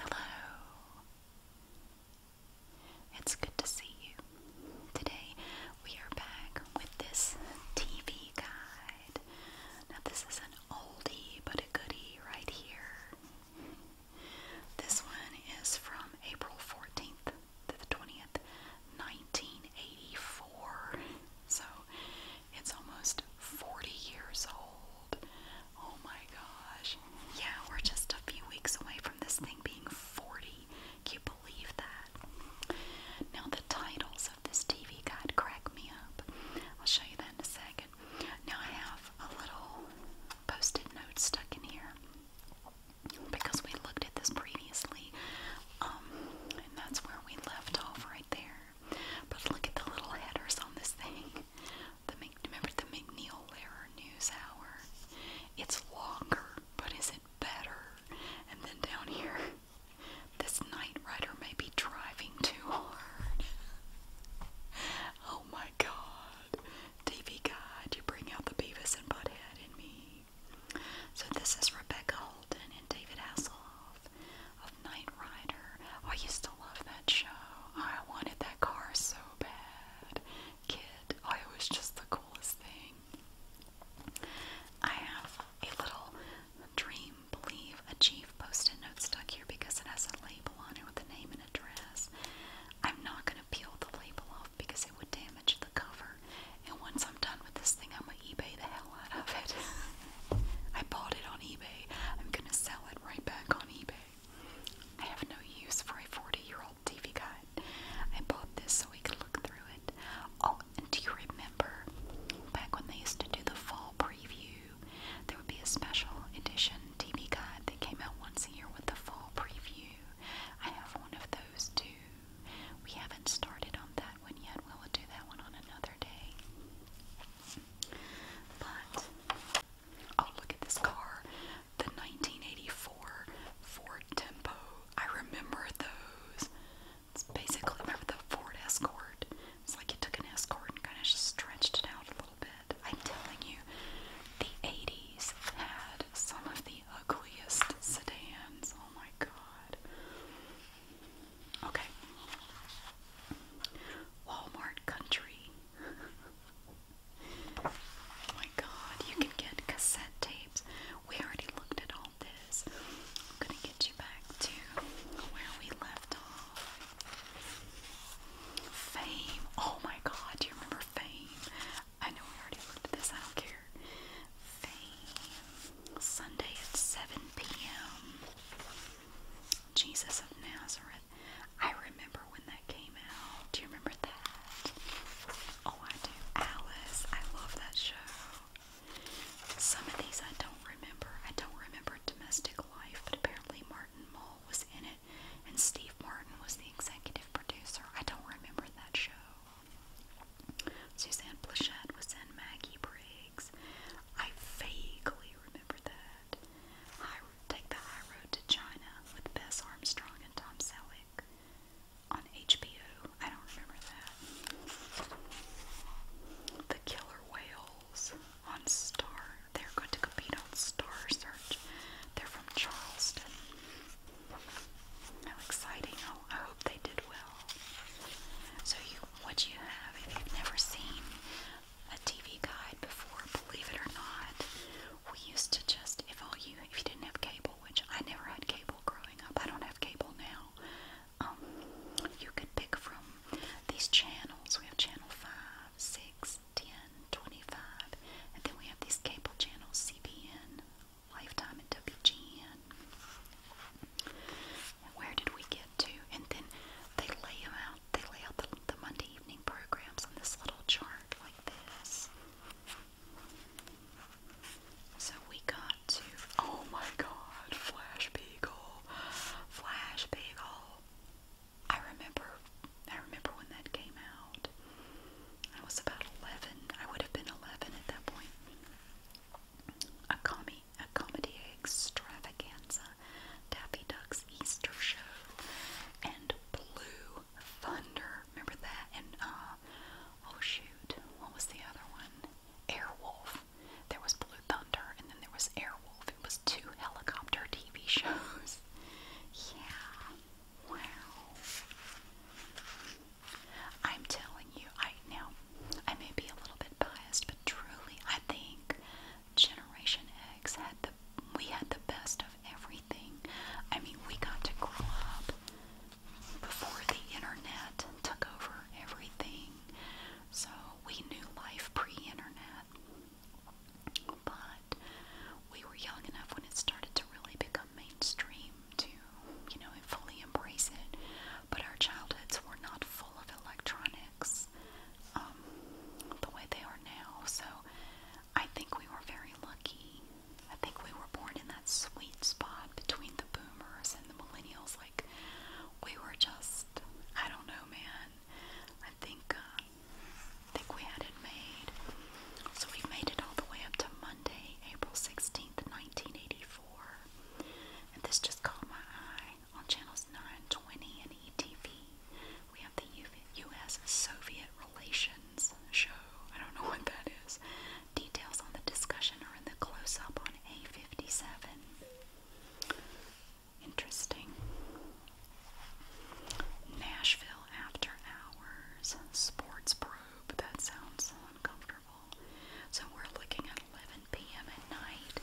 Hello. It's good to see you. Today we are back with this TV guide. Now, this is an oldie but a goodie right here. This one is from April 14th to the 20th, 1984. So it's almost 40 years old. Oh my gosh. Yeah, we're just a few weeks away from this thing being 40. Can you believe that? Now, the titles of this TV guide crack me up. I'll show you that in a second. Now, I have a little post note stuck in here because we looked at this previously. Um, and that's where we left off right there. But look at the little headers on this thing. The remember the McNeil Lehrer News Hour. It's longer, but is it better? And then down here, this night rider may be driving too hard. oh my God, TV guide, you bring out the Beavis and Butthead in me. So this is Rebecca Holden and David Hasselhoff of Knight Rider. Oh, I used to love that show. I wanted that car so bad. Kid, oh, I was just the coolest thing. I have a little dream, believe, achieve post it note stuck here because it has a label on it with a name and address. I'm not going to peel the label off because it would damage the cover. And once I'm done with this thing, I'm going to eBay the hell out of it. I bought it on eBay. I'm gonna sell it right back on eBay. I have no use for a 40 year old TV guide. I bought this so we could look through it. Oh, and do you remember back when they used to do the fall preview? There would be a special edition TV guide that came out once a year with the fall preview. I have one of those too. We haven't started on that one yet. We'll do that one on another day. But oh, look at this car, the 1984 Ford Tempo. I remember those. It's basically remember the Ford Escort. It's like you took an Escort and kind of stretched it out a little bit. I'm telling you, the 80s had some of the ugliest sedans. Oh my god. Okay. Walmart Country. Oh my god, you can get cassette tapes. We already looked at all this. gonna get you back to where we left off. Fame. Oh my god, do you remember Fame? I know we already looked at this, I don't care. Fame. Sunday at 7 p.m. Jesus of Nazareth. I remember when that came out. Do you remember that? Oh, I do. Alice. I love that show. Some of these I don't remember. I don't remember domestic life, but apparently Martin Mull was in it, and Steve Martin was the executive producer. I don't remember that show. Suzanne Plachette was in Maggie Briggs. I vaguely you remember that. take the High Road to China with Bess Armstrong and Tom Selleck on HBO. I don't remember that. The Killer Whales on Star. They're going to compete on Star Search. They're from Charleston. How exciting! Oh, I hope they did well. So, you what you have, if you've never seen a TV guide before, believe it or not. We used to just, if all you, if you didn't have cable, which I never had cable growing up, I don't have cable now. Um, you could pick from these channels. We have channel 5, 6, 10, 25, and then we have these cable channels, CBN, Lifetime, and WGN. And where did we get to? And then they lay them out they lay out the, Monday evening programs on this little chart like this. So we got to, oh my god, Flash Beagle, Flash Beagle. I remember, I remember when that came out. I was about 11, I would have been 11 at that point. A, comi a comedy extravaganza Daffy Duck's Easter Show, and Blue Thunder. Remember that? And, uh, oh shoot, what was the other one? Airwolf. There was Blue Thunder, and then there was Airwolf. It was two helicopter TV shows. yeah. Wow. I'm telling you, I now I may be a little bit biased, but truly I think Generation X had the we had the best of everything. I mean, we got to grow up before the internet took over everything. So we knew life pre-internet. But we were young enough when it started to really become mainstream to, you know, fully embrace it. But our childhoods were not full of electronics mix um, the way they are now. So I think we were very lucky. I think we were born in that sweet spot between the boomers and the millennials. Like, we were just, I don't know, man. I think, uh, I think we had it made. So we made it all the way up to Monday, April 16th, 1984. And this just caught my eye on channels 920 and ETV, we have the U.S. Soviet Relations show. I don't know what that is. Details on the discussion are in the close up on A57. Interesting. Nashville After Hours Sports Probe. That sounds uncomfortable. So we're looking at 11 p.m. at night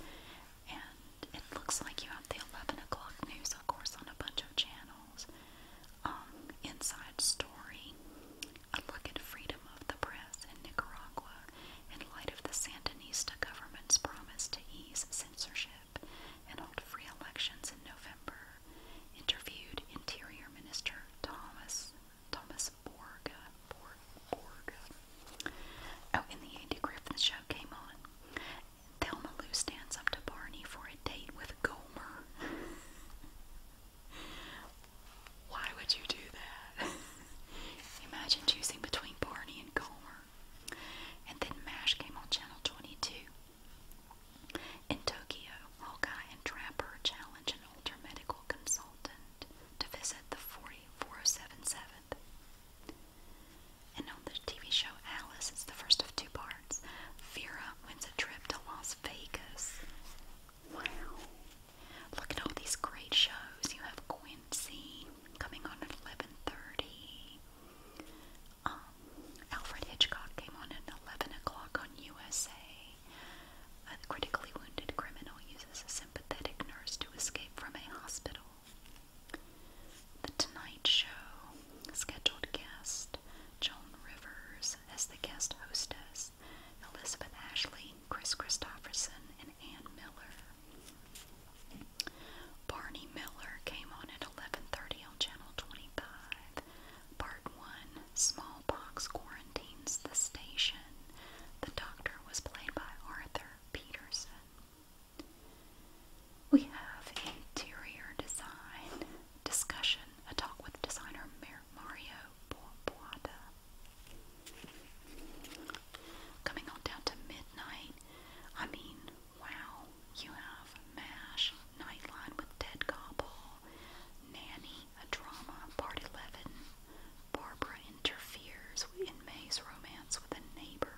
and it looks like you have the 11 o'clock news, of course, on a bunch of channels. Um, inside Story, a look at freedom of the press in Nicaragua in light of the Sandinista government's promise to ease censorship and hold free elections in November, interviewed Interior Minister Thomas Thomas Borga. Oh, and the Andy Griffith show came on. Thelma Lou stands up to Barney for a date with Gomer. Why would you do that? Imagine choosing between Barney and Gomer. And then MASH came on Channel 22. In Tokyo, Hawkeye and Trapper challenge an older medical consultant to visit the 40477 and on the TV show Alice, it's the first of two parts. Vera wins a trip to Las Vegas. Wow. Look at all these great shows. You have Quincy coming on at 11.30. Um, Alfred Hitchcock came on at 11 o'clock on USA. A critically wounded criminal uses a sympathetic nurse to escape from a hospital. The Tonight Show scheduled guest Joan Rivers as the guest hostess, Elizabeth Ashley, Chris Christopherson, and Ann Miller. Barney Miller came on at 11:30 on Channel 25. Part 1: Smallpox quarantines the station. The doctor was played by Arthur Peterson. We have interior design discussion, a talk with designer Mario Boada. Coming on down to midnight, I mean, wow, you have MASH, Nightline with Dead Gobble, Nanny, a drama, part 11, Barbara interferes in May's romance with a neighbor,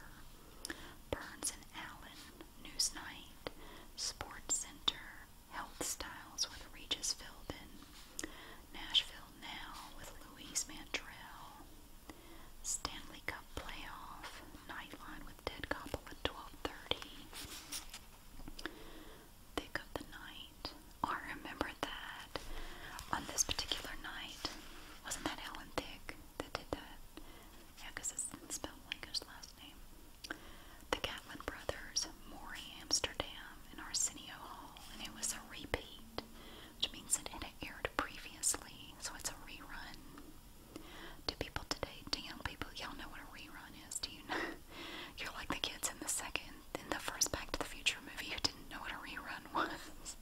Burns and Allen, Newsnight, Sports Center, Health Styles with Regis Philbin, Nashville Now with Louise Mandrell, Stanley Cup Playoff, Nightline with Ted Koppel at 1230, Thick of the Night, oh, I remember that on this particular night, wasn't that Ellen Thick that did that? Yeah, it's spelled like last name. The Catlin brothers, Maury Amsterdam, and Arsenio Hall, and it was a repeat, which means it aired previously, so it's a rerun. Do people today, do young people, y'all know what a rerun is? Do you know? You're like the kids in the second, in the first Back to the Future movie who didn't know what a rerun was.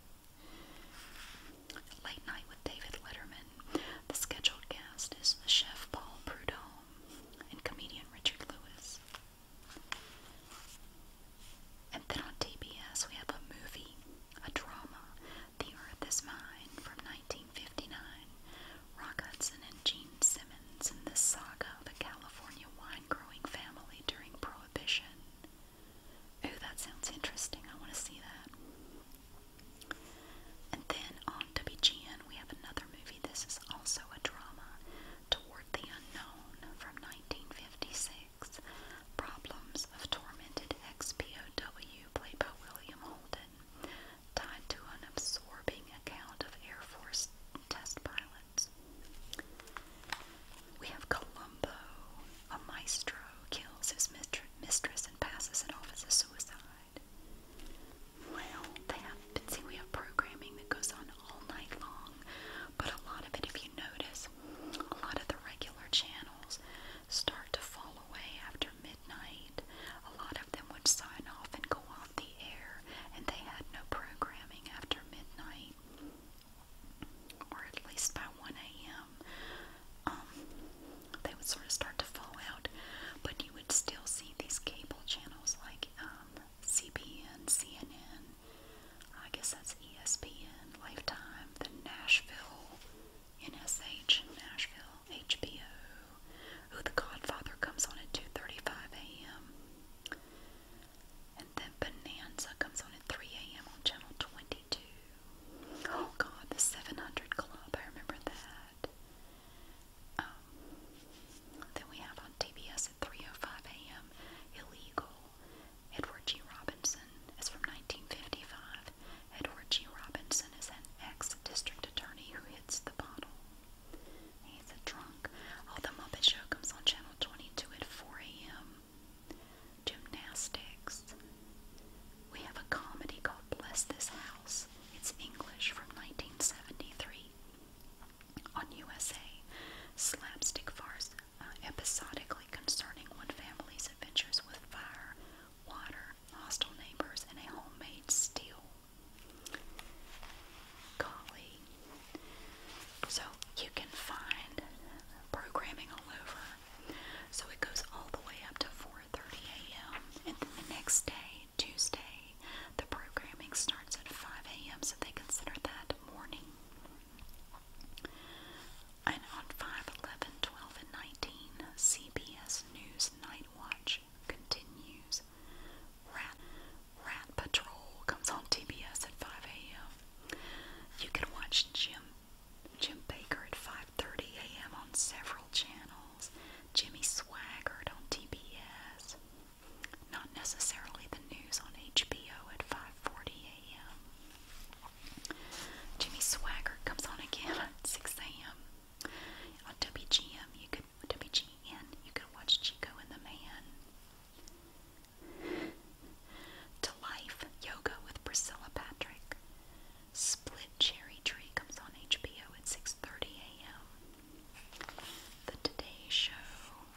Late Night with David Letterman. The scheduled guest is Chef Paul Prudhomme and comedian Richard Lewis. And then on TBS, we have a movie, a drama, The Earth is Mine from 1959. Rock Hudson and Jean Simmons in the saga of a California wine growing family during Prohibition. Oh, that sounds interesting. I want to see that. And then on WGN, we have another movie. This is also a drama, Toward the Unknown from 1956. Problems of Tormented pow played by William Holden, tied to an absorbing account of Air Force test pilots. We have Columbo, a maestro kills his mistress and passes it off as a suicide. Well, they have, see, we have programming that goes on all night long, but a lot of it, if you notice, a lot of the regular channels start to fall away after midnight. A lot of them would sign off and go off the air, and they had no programming after midnight, or at least by 1 a.m um, they would sort of start to fall out, but you would still see these cable channels like um, CBN, CNN, I guess that's ESPN, Lifetime, the Nashville, NSH, Nashville, HBO, who The Godfather comes on at 2.35 a.m., and then Bonanza comes on at 3 a.m. on Channel 22. Oh God, the 700 Club. I remember that. Um, then we have on TBS at 3:05 a.m. Illegal. Edward G. Robinson is from 1955. Edward G. Robinson is an ex-district attorney who hits the bottle. He's a drunk. Oh, the Muppet Show comes on Channel 22 at 4 a.m gymnastics. We have a comedy called Bless This House. It's English from 1973 on USA. Slapstick farce uh, episodically concerning one family's adventures with fire, water, hostile neighbors, and a homemade steel Golly. So you can find programming all over. So it goes all the way up to 4 4:30 a.m. and then the next day, Tuesday, the programming starts at 5 a.m. So they consider that morning. And on 5, and 19, CBS News Night Watch continues. Rat, Rat Patrol comes on TBS at 5 a.m. You can watch Jim Jim Baker at 5:30 a.m. on several channels. Jimmy Swaggart on TBS. Not necessarily the news on HBO at 5:40 a.m. Jimmy Swaggart comes on again at 6 a.m. On WGM, you could WGN, you could watch Chico and the Man. To Life Yoga with Priscilla Patrick. Split Cherry Tree comes on HBO at 6:30 a.m. The Today Show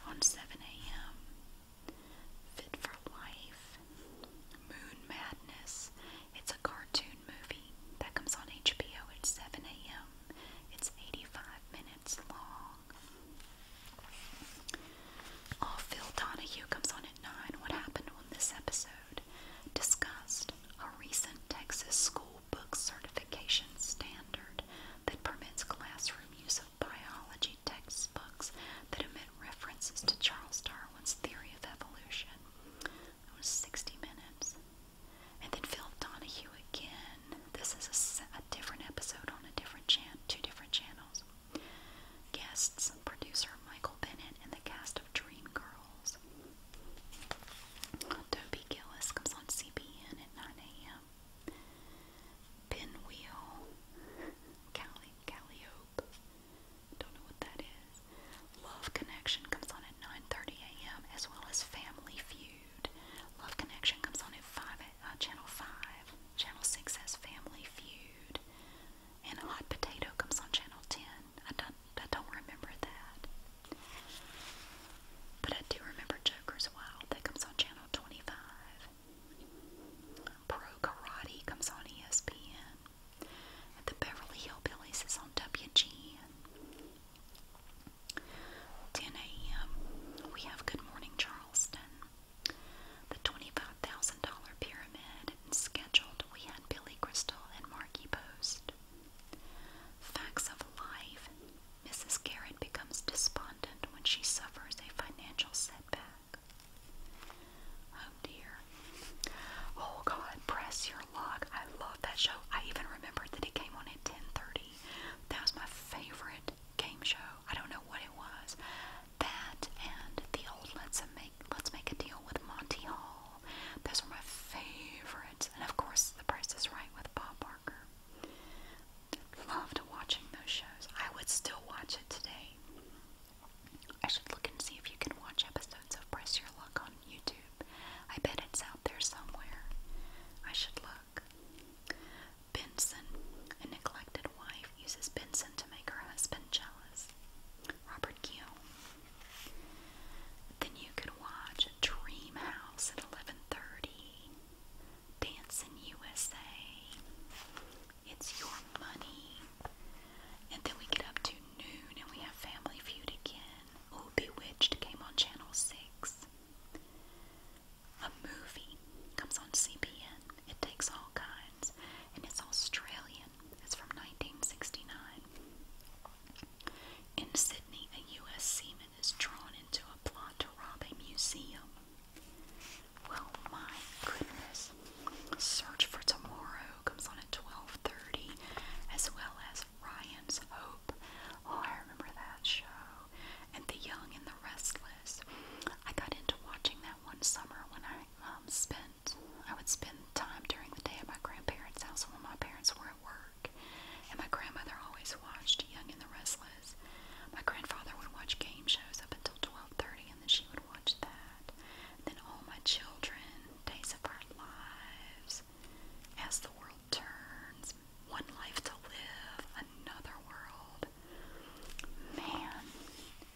on 7 a.m. Fit for Life, Moon Madness. It's a cartoon movie that comes on HBO at 7 a.m. It's 85 minutes long. Oh, Phil Donahue comes on at 9. What happened on this episode? discussed a recent Texas school book certification standard that permits classroom use of biology textbooks that omit references to Charles Darwin's theory of evolution. It was 60 minutes. And then Phil Donahue again. This is a, a different episode on a different channel, two different channels. Guests, producer Michael Bennett and the cast Dreamgirls. Toby Gillis comes on CBN at 9 a.m. Pinwheel, Calli Calliope, don't know what that is. Love Connection comes on at 9:30 a.m. as well as Family Feud. Love Connection comes on at five at uh, Channel Five. Channel Six has Family Feud and Hot Potato comes on Channel 10. I don't, I don't remember that. But I do remember Joker's Wild. That comes on Channel 25. Pro Karate comes on ESPN. the Beverly Hillbillies is on WGN. 10 a.m. We have Good Morning Charleston. The 25,000 pyramid scheduled we had Billy Crystal and Marky Post. Facts of life. Mrs. Garrett becomes despondent when she suffers a financial setback. Oh dear. Oh God, press your luck. I love that show. I even remembered that it came on at 10:30. That was my favorite game show. I don't know what it was. That and the old Let's Amazing let's make a deal with Monty Hall. Those were my favorites. And of course, The Price is Right with Bob Barker. Loved watching those shows. I would still watch it today. I should look and see if you can watch episodes of Press Your Luck on YouTube. I bet it's out there somewhere. I should look. Benson, a neglected wife, uses Benson to make her husband jealous. Robert Guillaume, then you could watch Dream House at 11:30. Dancing USA. It's your money. And then we get up to noon and we have Family Feud again. Oh, Bewitched came on Channel 6. A movie comes on CPN. It takes all kinds. And it's Australian. Guardian from 1969. In Sydney, a U.S. seaman is drawn into a plot to rob a museum. Well, my goodness. Search for Tomorrow comes on at 12.30, as well as Ryan's Hope. Oh, I remember that show. And The Young and the Restless. I got into watching that one summer when I um, spent spent I would spend time during the day at my grandparents' house when my parents were at work. And my grandmother always watched Young and the Restless. My grandfather would watch game shows up until twelve thirty and then she would watch that. And then all my children, days of our lives, as the world turns, one life to live, another world. Man,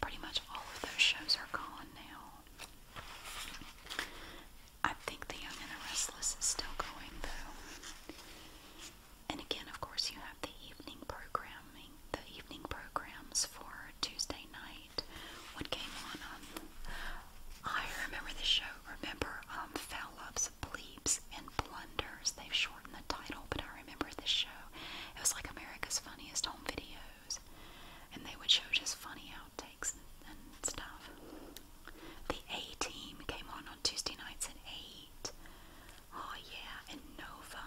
pretty much all of those shows are gone now. I think The Young and the Restless is still going though. And again, of course, you have the evening programming, the evening programs for Tuesday night. What came on? Um, I remember the show. Remember, um, Fowlups, Bleeps, and Blunders. They've shortened the title, but I remember this show. It was like America's Funniest Home video shows, and they would show just funny outtakes and, and stuff. The A Team came on on Tuesday nights at 8. Oh, yeah, and Nova.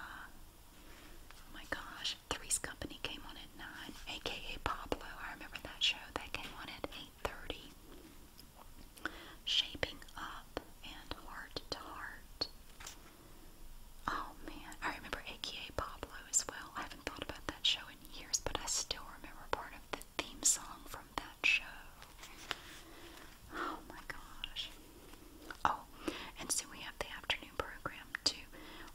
Oh my gosh, Three's Company came on at 9, aka Pablo. I remember that show. That came on at 8.30. Shaping Up and Heart to Heart. Oh man, I remember aka Pablo as well. I haven't thought about that show in years, but I still remember part of the theme song from that show. Oh my gosh. Oh, and so we have the afternoon program too.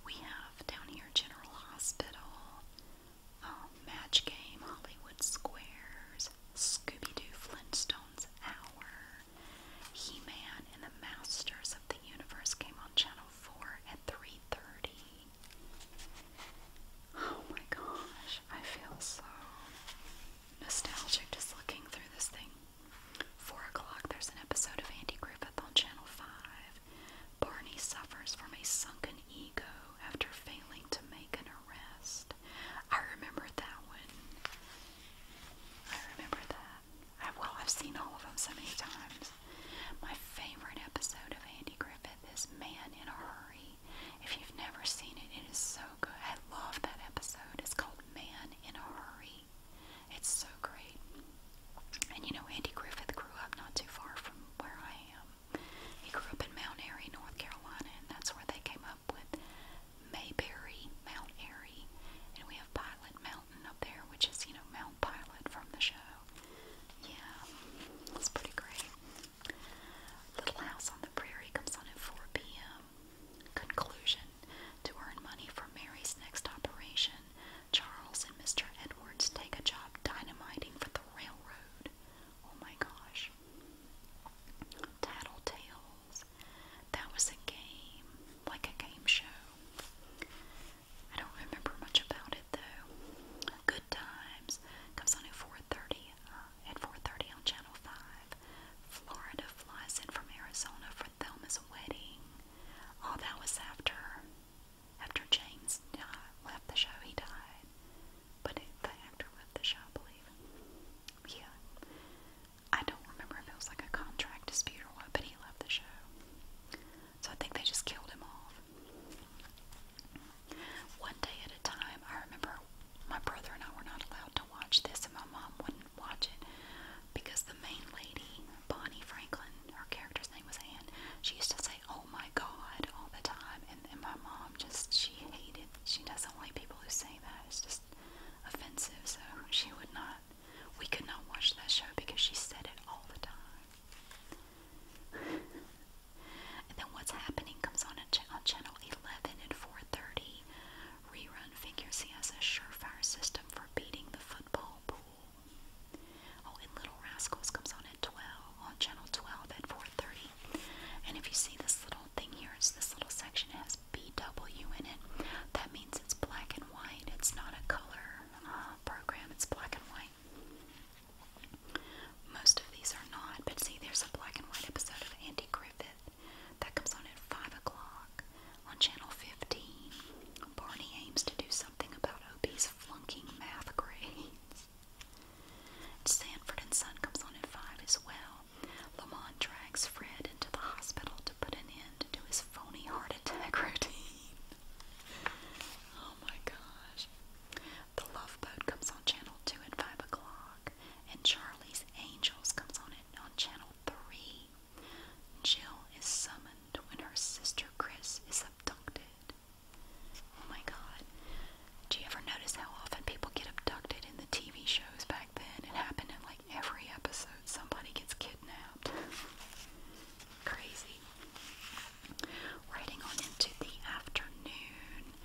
We have down here General Hospital, um, Match Game, Hollywood Squares, Scooby Doo Flintstones Hour, He Man and the Masters of the Universe came on Channel 4 at 3.30. Oh my gosh, I feel so nostalgic just looking through this thing. 4 o'clock, there's an episode of Andy Griffith on Channel 5. Barney suffers from a sunken ego after failing to make an arrest. I remember that one. I remember that. well, I've seen all of them so many times. My favorite episode of Andy Griffith is Man in a Hurry. If you've never seen it, it is so good. I love that episode. It's called Man in a Hurry. It's so great. And you know, Andy Griffith grew up not too far from where I am. He grew up in Mount Airy, North Carolina, and that's where they came up with Mayberry, Mount Airy. And we have Pilot Mountain up there, which is, you know, Mount pilot from the show. Yeah, it's pretty great. Little House on the Prairie comes on at 4 p.m. Conclusion To earn money for Mary's next operation, Charles and Mr. Edwards take a job dynamiting for the railroad. Oh my gosh. Tattletales. That was a game, like a game show. I don't remember much about it though. Good Times comes on at 4:30 uh, at 4:30 on Channel 5. Florida flies in from Arizona for Thelma's wedding. Oh, that was after after James died, uh, left the show. He died, but the actor left the show, believe. Yeah, I don't remember it was like a contract dispute or what, but he left the show. So I think they just killed him off. One day at a time, I remember my brother and I were not allowed to watch this, and my mom wouldn't watch it because the main lady, Bonnie Franklin, her character's name was Anne, she used to say, Oh my God, all the time. And, and my mom just, she hated, she doesn't like people who say that. It's just offensive. So she would not, we could not watch that show because she said it all the time and then what's happening comes on ch on channel 11 at 4:30. Rerun figures he has a surefire system for beating the football pool. Oh, and Little Rascals comes on at 12 on channel 12 at 4:30. And if you see this little thing here, it's this little section it has BW in it. That means it's black and white. It's not a color uh, program. It's black and white. Most of these are not, but see, there's a black and white episode of Andy Griffith that comes on at 5 o'clock on Channel 15. Barney aims to do something about Opie's flunking math grades. Sanford and Son comes on at 5 as well. Lamont drags Fred into the hospital to put an end to his phony heart attack routine. Oh my gosh. The Love Boat comes on channel 2 at 5 o'clock, and Charlie's Angels comes on it on channel 3. Jill is summoned when her sister Chris is abducted. Oh my god. Do you ever notice how often people get abducted in the TV shows back then? It happened in like every episode. Somebody gets kidnapped. Crazy. Riding on into the afternoon,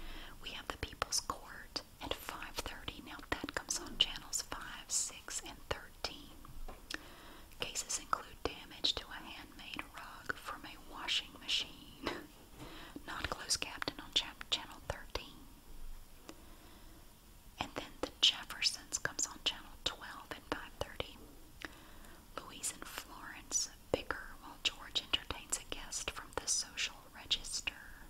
we have the People's Court at 5:30. Now that comes on channels 5, 6, and 13. Cases include damage to a handmade rug from a washing machine. Not close captain on channel 13. And then the Jeffersons comes on channel 12 at 5:30. Louise and Florence bicker while George entertains a guest from the social register.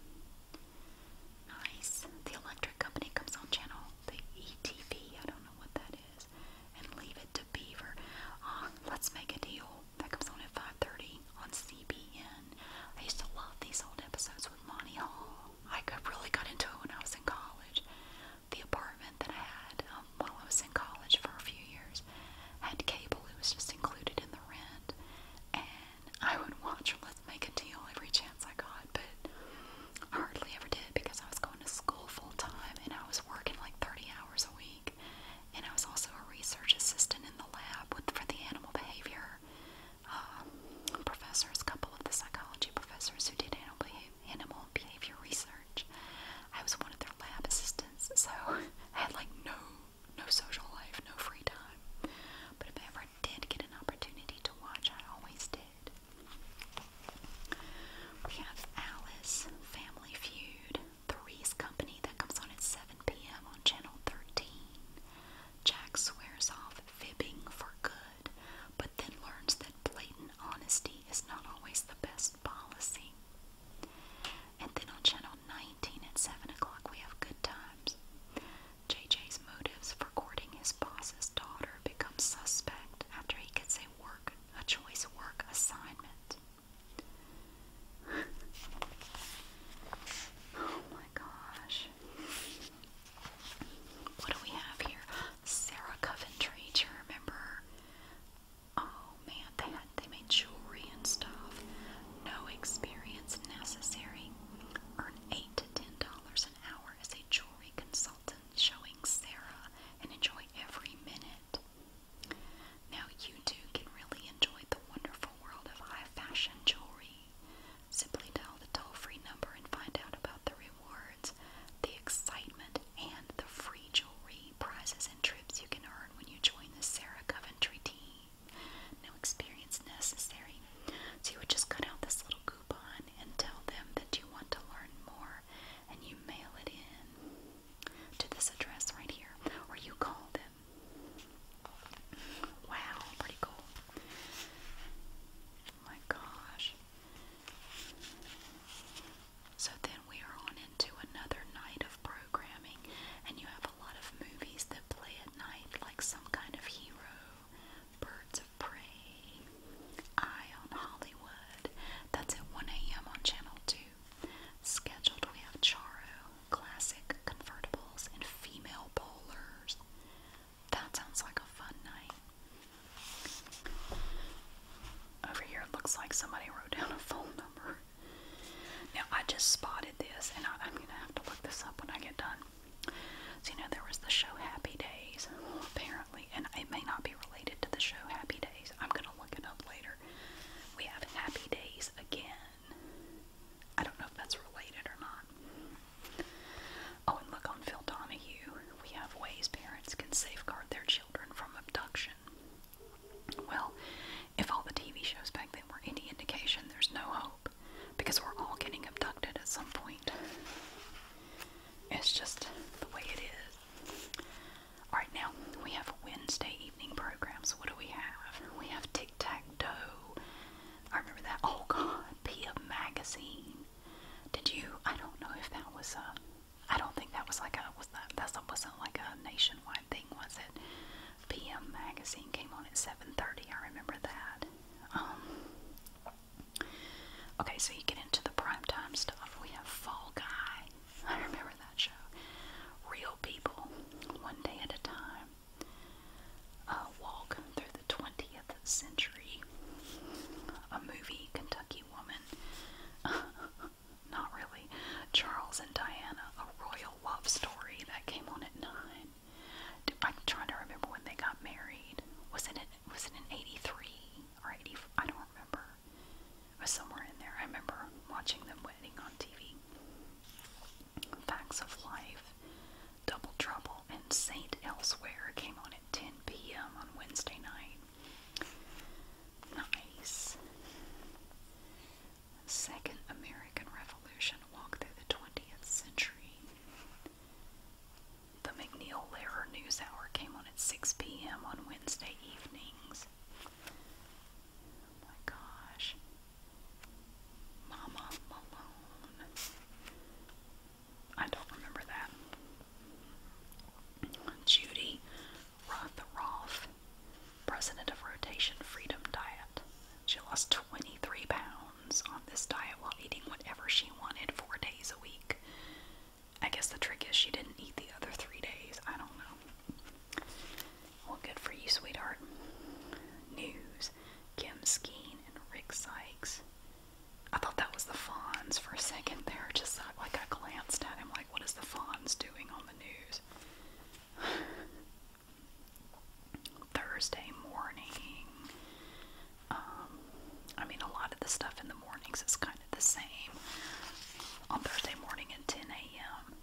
Nice. The electric company comes on channel, the ETV, I don't know what that is, and leave it to Beaver. oh, let's make a deal. That comes on at 5.30 on CBN. I used to love these old episodes with Monty Hall. I really got into it when I was in college the apartment that I had um, while I was in college for a few years had cable. It was just included in the rent, and I would watch Let's Make a Deal every chance I got, but I hardly ever did because I was going to school full time and I was working like 30 hours a week, and I was also a research assistant in the lab with for the animal behavior um, professors, a couple of the psychology professors who did animal behavior, animal behavior research. I was one of their lab assistants, so I had like no no social life, no free time. But if I ever did get an opportunity to watch, I always did. We have Alice, Family Feud, The Reese Company that comes on at 7 p.m. on Channel 13. Jack swears off fibbing for good, but then learns that blatant honesty is not always the best policy. And then on channel 19 at 7 o'clock, we have Good Times. JJ's motives for courting his boss's daughter become suspect after he gets a work, a choice work assignment. oh my gosh. What do we have here? Sarah Coventry, do you remember Oh man, they had they made jewelry and stuff. No experience necessary. Earn eight to ten dollars an hour as a jewelry consultant showing Sarah and enjoy every minute. Now you too can really enjoy the wonderful world of high fashion jewelry. Simply dial the toll-free number and find out about the rewards, the excitement, and the free jewelry prizes and trips you can earn when you join the Sarah Coventry team. No experience necessary. So you would just cut out this little coupon and tell them that you want to learn more and you mail it in to this address right here or you call them. Wow, pretty cool. my gosh. So then we are on into another night of programming, and you have a lot of movies that play at night, like some kind of hero, Birds of Prey, Eye on Hollywood. That's at 1 a.m. on Channel 2. Scheduled, we have Charo, Classic Convertibles, and Female Bowlers. That sounds like a fun night. Over here it looks like somebody wrote down a phone number. Now I just spotted this and I, am going to have to look this up when I get done. So you know there was the show Happy Days apparently and it may not be related to the show Happy Days. I'm going to look it up later. We have Happy Days again. I don't know if that's related or not. Oh, and look on Phil Donahue. We have ways parents can safeguard their children from abduction. Well, if all the TV shows back then were any indication, there's no hope because we're all getting abducted at some point. It's just the way it is. Alright, now we have Wednesday evening programs. What do we have? We have Tic Tac Doe. I remember that. Oh god, Pia Magazine. Did you? I don't know if that was a uh, I don't think that was like a was that that wasn't like a nationwide thing, was it? PM magazine came on at seven thirty. I remember that. Um, okay, so you get into the primetime stuff. We have Fall Guy. I remember that show. Real people, one day at a time. Uh, walk through the twentieth century. A movie, Kentucky Woman. not really, Charles and Diana, a royal love story that came on at 9. I'm trying to remember when they got married. Was it, in, was it in 83 or '84? I don't remember. It was somewhere in there. I remember watching them wedding on TV. Facts of Life, Double Trouble, and Saint Elsewhere came on at 10 p.m. on Wednesday night. Nice. Second American Revolution walked through the 20th century. The McNeil Lehrer News Hour came on at 6 p.m. on Wednesday evenings. Oh my gosh. Mama Malone. I don't remember that. Judy Rothroff president of Rotation Freedom Diet. She lost 23 pounds on this diet while eating whatever she wanted four days a week. I guess the trick is she didn't eat the other three days. I don't know. Well, good for you, sweetheart. News Kim Skeen and Rick Sykes. I thought that was the Fonz for a second there. Just like I glanced at him, like, what is the Fonz doing on news. Thursday morning. Um, I mean, a lot of the stuff in the mornings is kind of the same. On Thursday morning at 10 a.m.,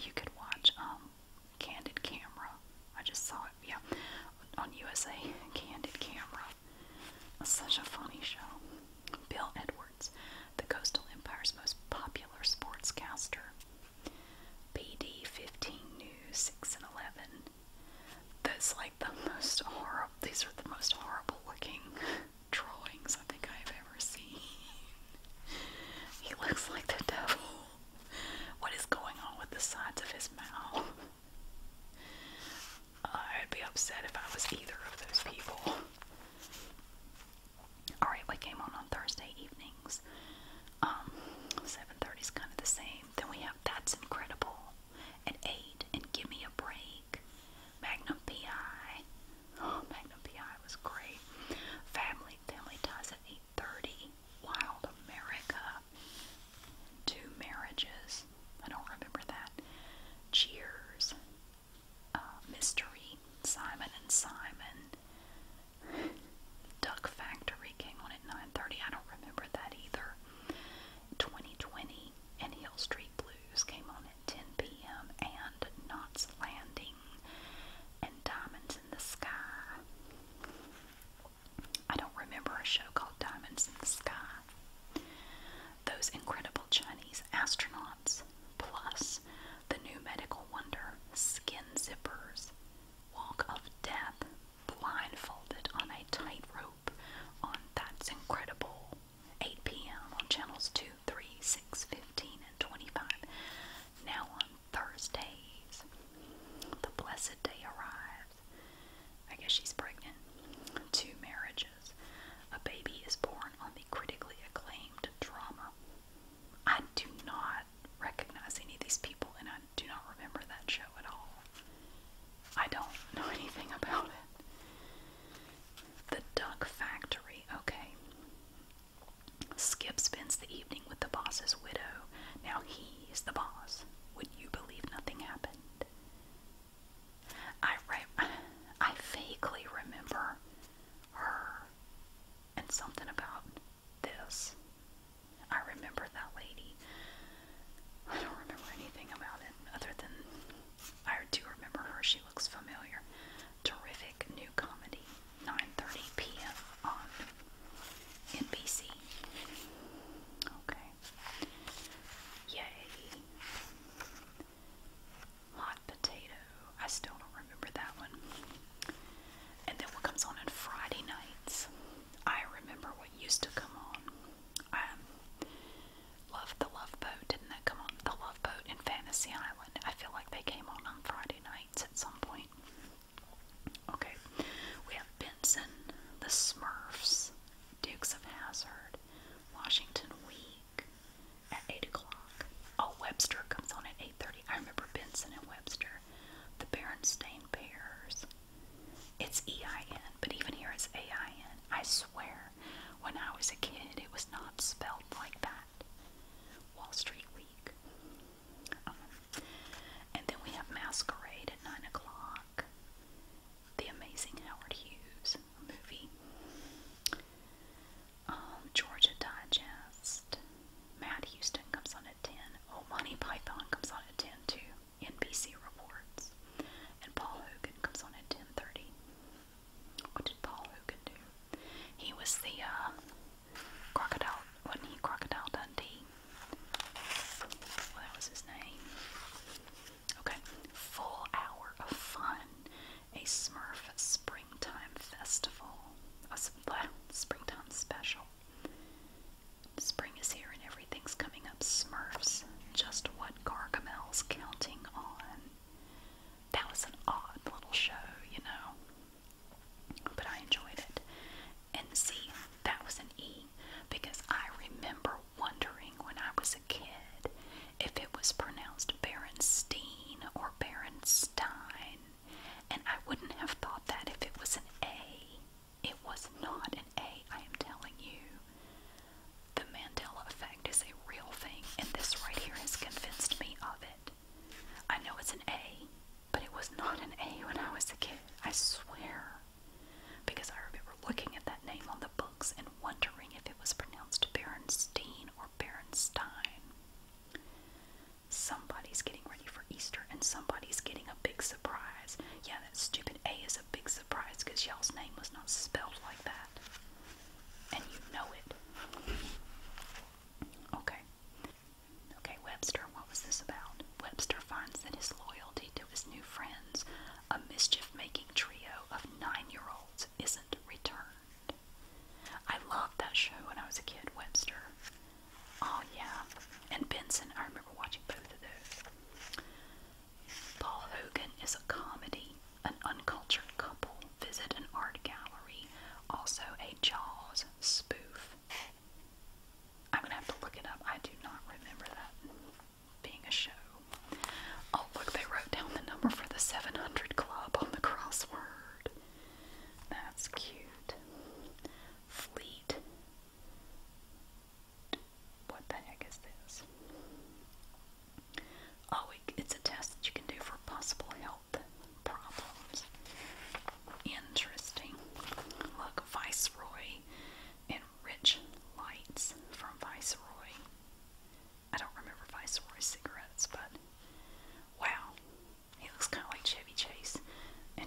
you could watch um, Candid Camera. I just saw it, yeah, on USA. Candid Camera. such a funny show. Bill Edwards the Coastal Empire's most popular sportscaster. PD 15 News 6 and 11. That's like the most horrible, these are the most horrible looking drawings I think I've ever seen. He looks like the devil. What is going on with the sides of his mouth? I'd be upset if I was either of those people. Alright, we came on on Thursday evenings. Um, 7.30 is kind of the same. Then we have That's Incredible at 8 and Give Me a Break. Magnum P.I. Oh, Magnum P.I. was great. Family, Family Ties at 8.30. Wild America. Two Marriages. I don't remember that. Cheers. Uh, mystery, Simon and Simon. Duck Factory came on at 9:30. I don't remember that either. 2020 and Hill Street Blues came on at 10 p.m. and Knots Landing and Diamonds in the Sky. I don't remember a show called Diamonds in the Sky. Those incredible Chinese astronauts, plus the new medical wonder, skin zippers, walk of death, blindfolded on a tightrope on That's Incredible, 8 p.m. on channels 2, 3, 6, 15, and 25. Now on Thursdays, the blessed day arrives. I guess she's pregnant. Two marriages. A baby is born on the critically acclaimed drama. I do not recognize any of these people, and I do not remember that show at all. I don't know anything about it. The Duck Factory, okay. Skip spends the evening with the boss's widow. Now he is the boss. Would you believe nothing happened? I, re I vaguely remember her and something about this. I remember that lady. I don't remember anything about it other than I do remember her. She looks familiar. Terrific new comedy, 9:30 p.m. on NBC. Okay. Yay. Hot potato. I still don't remember that one. And then what comes on on Friday nights? I remember what used to come on. I um, Love the Love Boat. Didn't that come on? The Love Boat and Fantasy Island. I feel like they came on on Friday nights at some point. Okay, we have Benson, The Smurfs, Dukes of Hazard, Washington Week, at 8 o'clock. Oh, Webster comes on at 8.30. I remember Benson and Webster. The Berenstain Bears. It's E-I-N, but even here it's A-I-N. I swear, when I was a kid, it was not spelled like that. Wall Street Week. Um, and then we have Masquerade at 9 o'clock. The Amazing Howard Hughes movie um, Georgia Digest. Matt Houston comes on at 10. Oh, Monty Python comes on at 10 too. NBC Reports. And Paul Hogan comes on at 10.30. What did Paul Hogan do? He was the uh, Crocodile, wasn't he Crocodile Dundee? Well, that was his name. Okay, full hour of fun a Smurf Springtime Festival, a Springtime Special. Spring is here and everything's coming up. Smurfs, just what Gargamel's counting on. That was an odd little show, you know, but I enjoyed it. And see, that was an E because I remember wondering when I was a kid if it was pronounced Berenstein or Berenstein, and I wouldn't have thought that if it was an A. It was not an A, I am telling you. The Mandela effect is a real thing, and this right here has convinced me of it. I know it's an A, but it was not an A when I was a kid, I swear. Because I remember looking at that name on the books and wondering if it was pronounced Berenstein Berenstein. Somebody's getting ready for Easter and somebody's getting a big surprise. Yeah, that stupid A is a big surprise because y'all's name was not spelled like that. And you know it. Okay. Okay, Webster, what was this about? Webster finds that his loyalty to his new friends, a mischief making trio of nine year olds, isn't returned. I loved that show when I was a kid, Webster. Oh, yeah. And Benson, I remember watching both of those. Paul Hogan is a comedy. An uncultured couple visit an art gallery, also a Jaws spoof. I'm going to have to look it up. I do not remember that being a show. Oh, look, they wrote down the number for the 700 Club on the crossword. That's cute. Fleet. What the heck is this? Oh, it's a test that you can do for possible health problems. Interesting. Look, Viceroy and Rich Lights from Viceroy. I don't remember Viceroy cigarettes, but wow, he looks kind of like Chevy Chase. And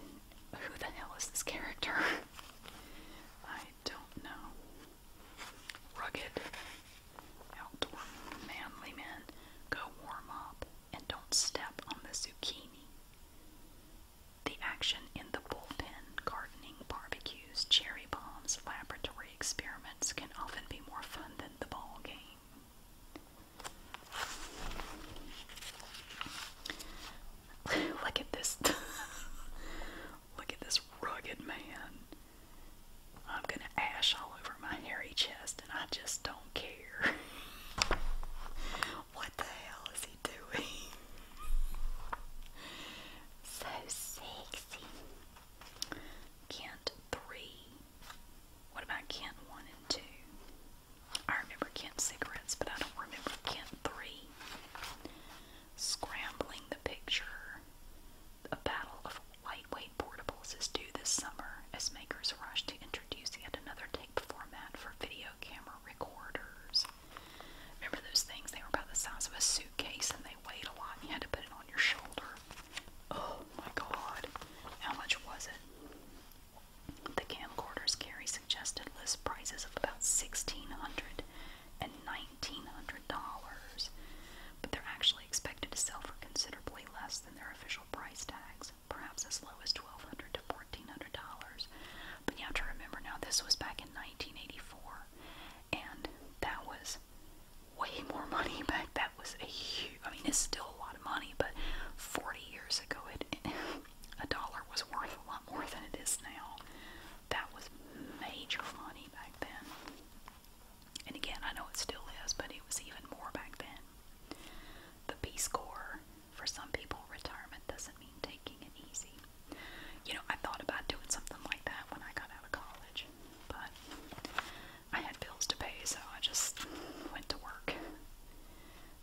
who the hell is this character? I don't know. Rugged, outdoor, manly men, go warm up and don't step on the zucchini. The action in the bullpen, gardening, barbecues, cherry bombs, laboratory experiments can often be more fun than the ball game. Look at this. Look at this rugged man. I'm gonna ash all over my hairy chest, and I just don't care. what the hell is he doing? so sexy. Kent 3 what about Kent 1 and 2? I remember Kent cigarettes, but I don't remember Kent 3. Scrambling the picture. A battle of lightweight portables is due this summer as makers rush to introduce yet another tape format for video camera recorders. Remember those things? They were about the size of a suitcase and they weighed a lot you had to put it on your shoulder. Oh my god. How much was it? The camcorder's carry suggested list prices of about $1,600 and $1,900, but they're actually expected to sell for considerably less than their official price tags, perhaps as low as $1,200 to $1,400. But you have to remember now, this was back in 1984, and that was way more money back. That was a huge, I mean, it's still a lot of money, but 40 years ago, it, a dollar was worth a lot more than it is now. That was major money back then. And again, I know it still is, but it was even more back then. The Peace Corps, for some people, retirement doesn't mean taking it easy. You know, I thought about doing something like that when I got out of college, but I had bills to pay, so I just went to work.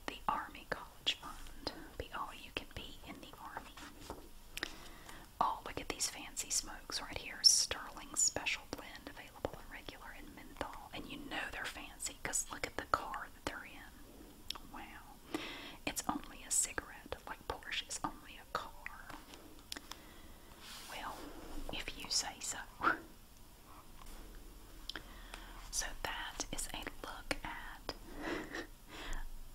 The Army College Fund. Be all you can be in the Army. Oh, look at these fancy smokes right here. Sterling Special Blend, available in regular and menthol. And you know they're fancy look at the car that they're in. Wow. It's only a cigarette, like Porsche is only a car. Well, if you say so. So that is a look at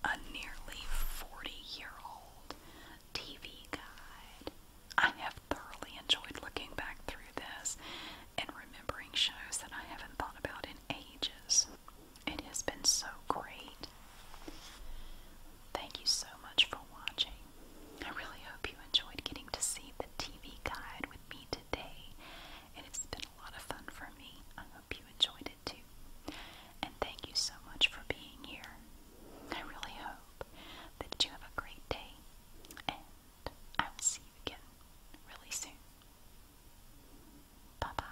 a nearly 40 year old TV guide. I have thoroughly enjoyed looking back through this and remembering shows that I haven't thought about in ages. It has been so great. Thank you so much for watching. I really hope you enjoyed getting to see the TV guide with me today, and it's been a lot of fun for me. I hope you enjoyed it too. And thank you so much for being here. I really hope that you have a great day, and I will see you again really soon. Bye bye.